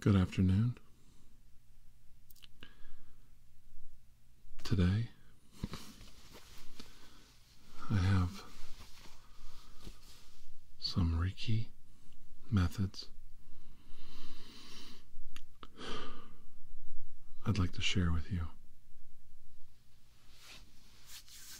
Good afternoon. Today, I have some Reiki methods I'd like to share with you.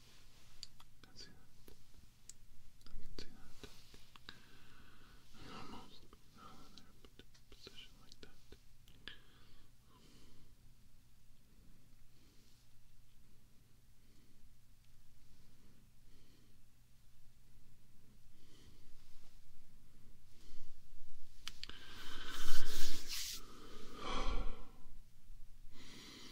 I can see that. I can see that. I can almost out of there, but in a position like that.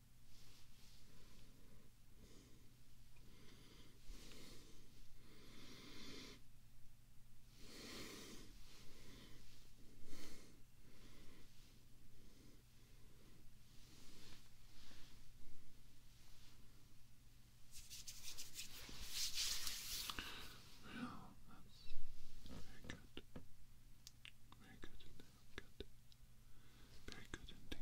Yeah, that's very good. Very good Good. Very good indeed.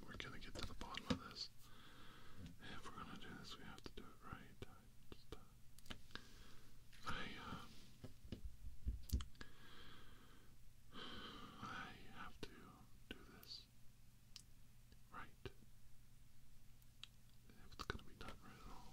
we are gonna get to the bottom of this. If we're gonna do this, we have to do it right. I, uh, I have to do this right. If it's gonna be done right at all.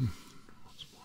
Once hmm, more.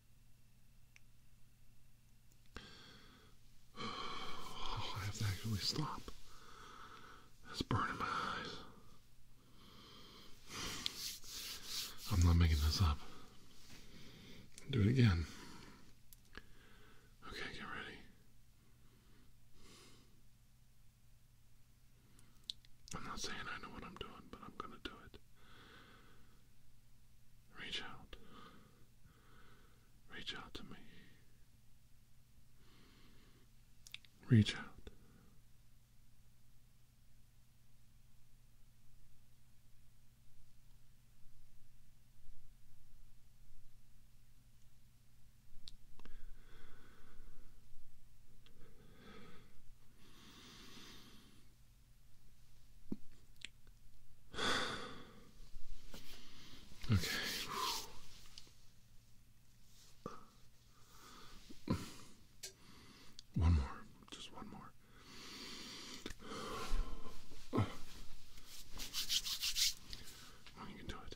I have to actually stop. It's burning my eyes. I'm not making this up. Do it again. Okay, get ready. I'm not saying I know what I'm doing, but I'm gonna do it. Reach out. Reach out to me. Reach out. Okay. One more, just one more. you can do it.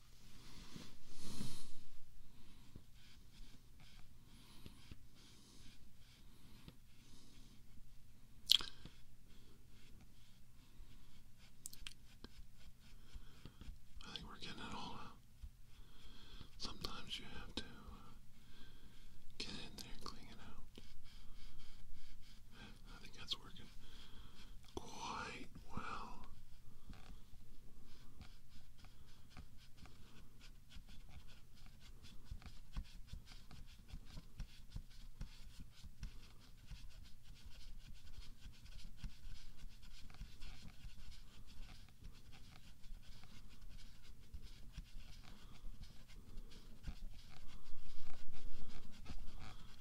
I think we're getting it all Sometimes you have to get in there clean it out. I think that's working quite well.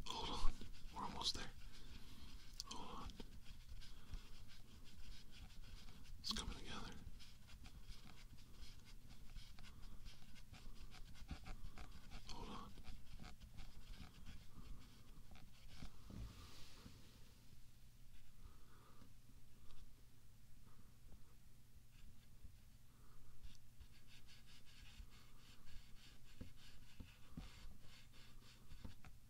Hold on, we're almost there. Hold on. It's coming together. Hold on.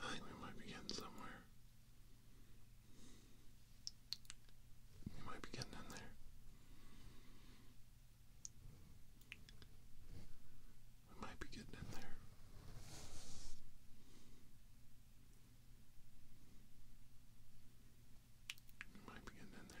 I think we might be getting somewhere. We might be getting in there. We might be getting in there. We might be getting in there.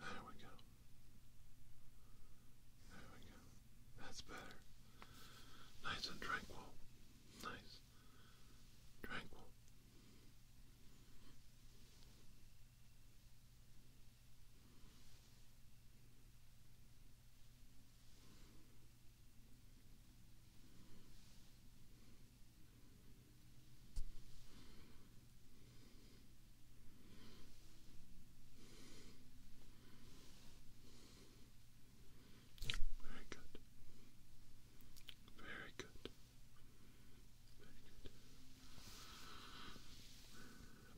There we go. There we go. That's better. Nice and tranquil. Nice. Tranquil. Very good. Very good.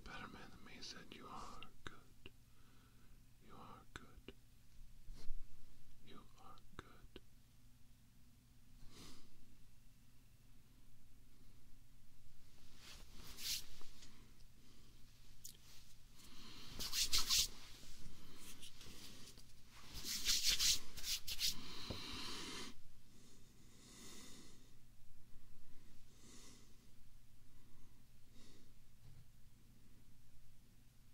better man than me said you are good. You are good. You are good. You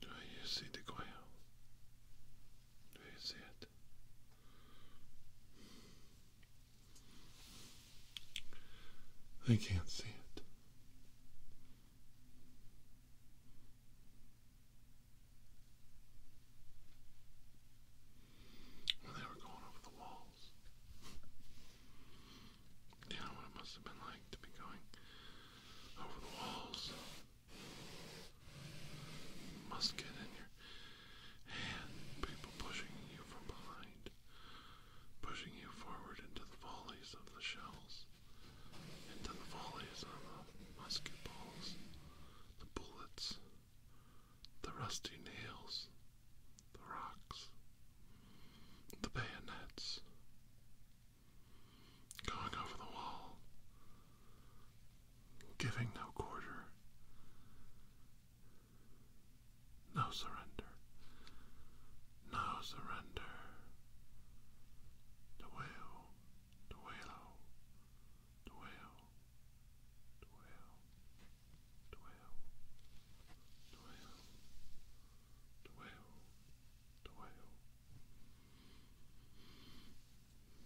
Do you see the coil? Do you see it? I can't see it. they were going over the walls, you know what it must have been like to be going over the walls. You in your hand. People pushing you from behind, pushing you forward into the volleys of the shells, into the volleys of the musket balls, the bullets the rusty nails, the rocks, the bayonets, going over the wall, giving no quarter, no surrender, no surrender. Duelo, duelo, duelo, duelo dwell,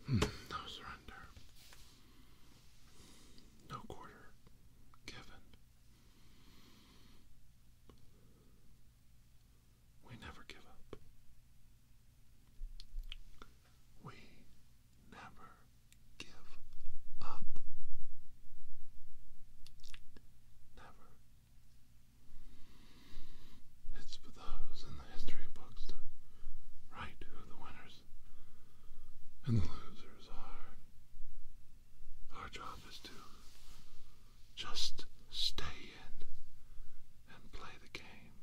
No surrender, no quarter given. We never give up. We never give up. Never. It's for those in the history books to write who the winners and the losers are. Our job is to just stay in and play the game.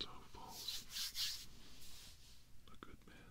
So falls a good man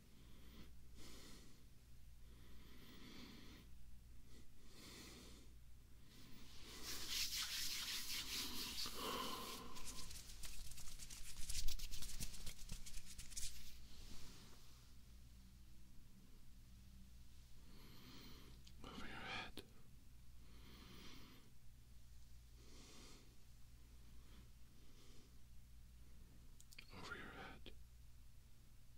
Over your head. Over your head.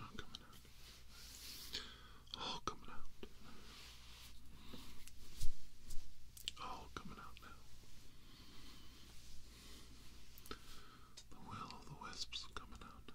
All coming out. All coming out. All coming out now. The will the wisps coming out now.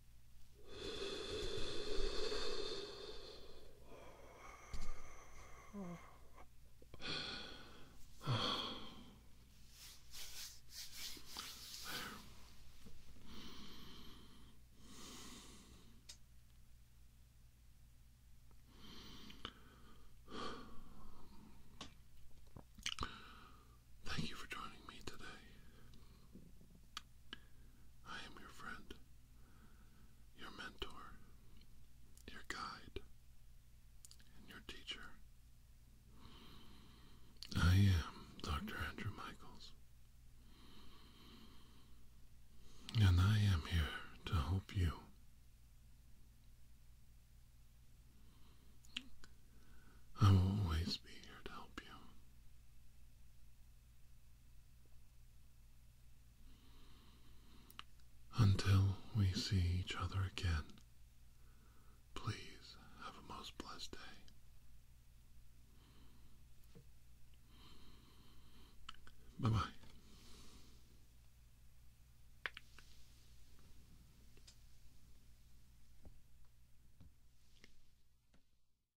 Thank you for joining me today. I am your friend, your mentor, your guide, and your teacher. I am Dr. Andrew Michaels, and I am here to help you. I will always be here to help you. Until we see each other again, please have a most blessed day. Bye bye.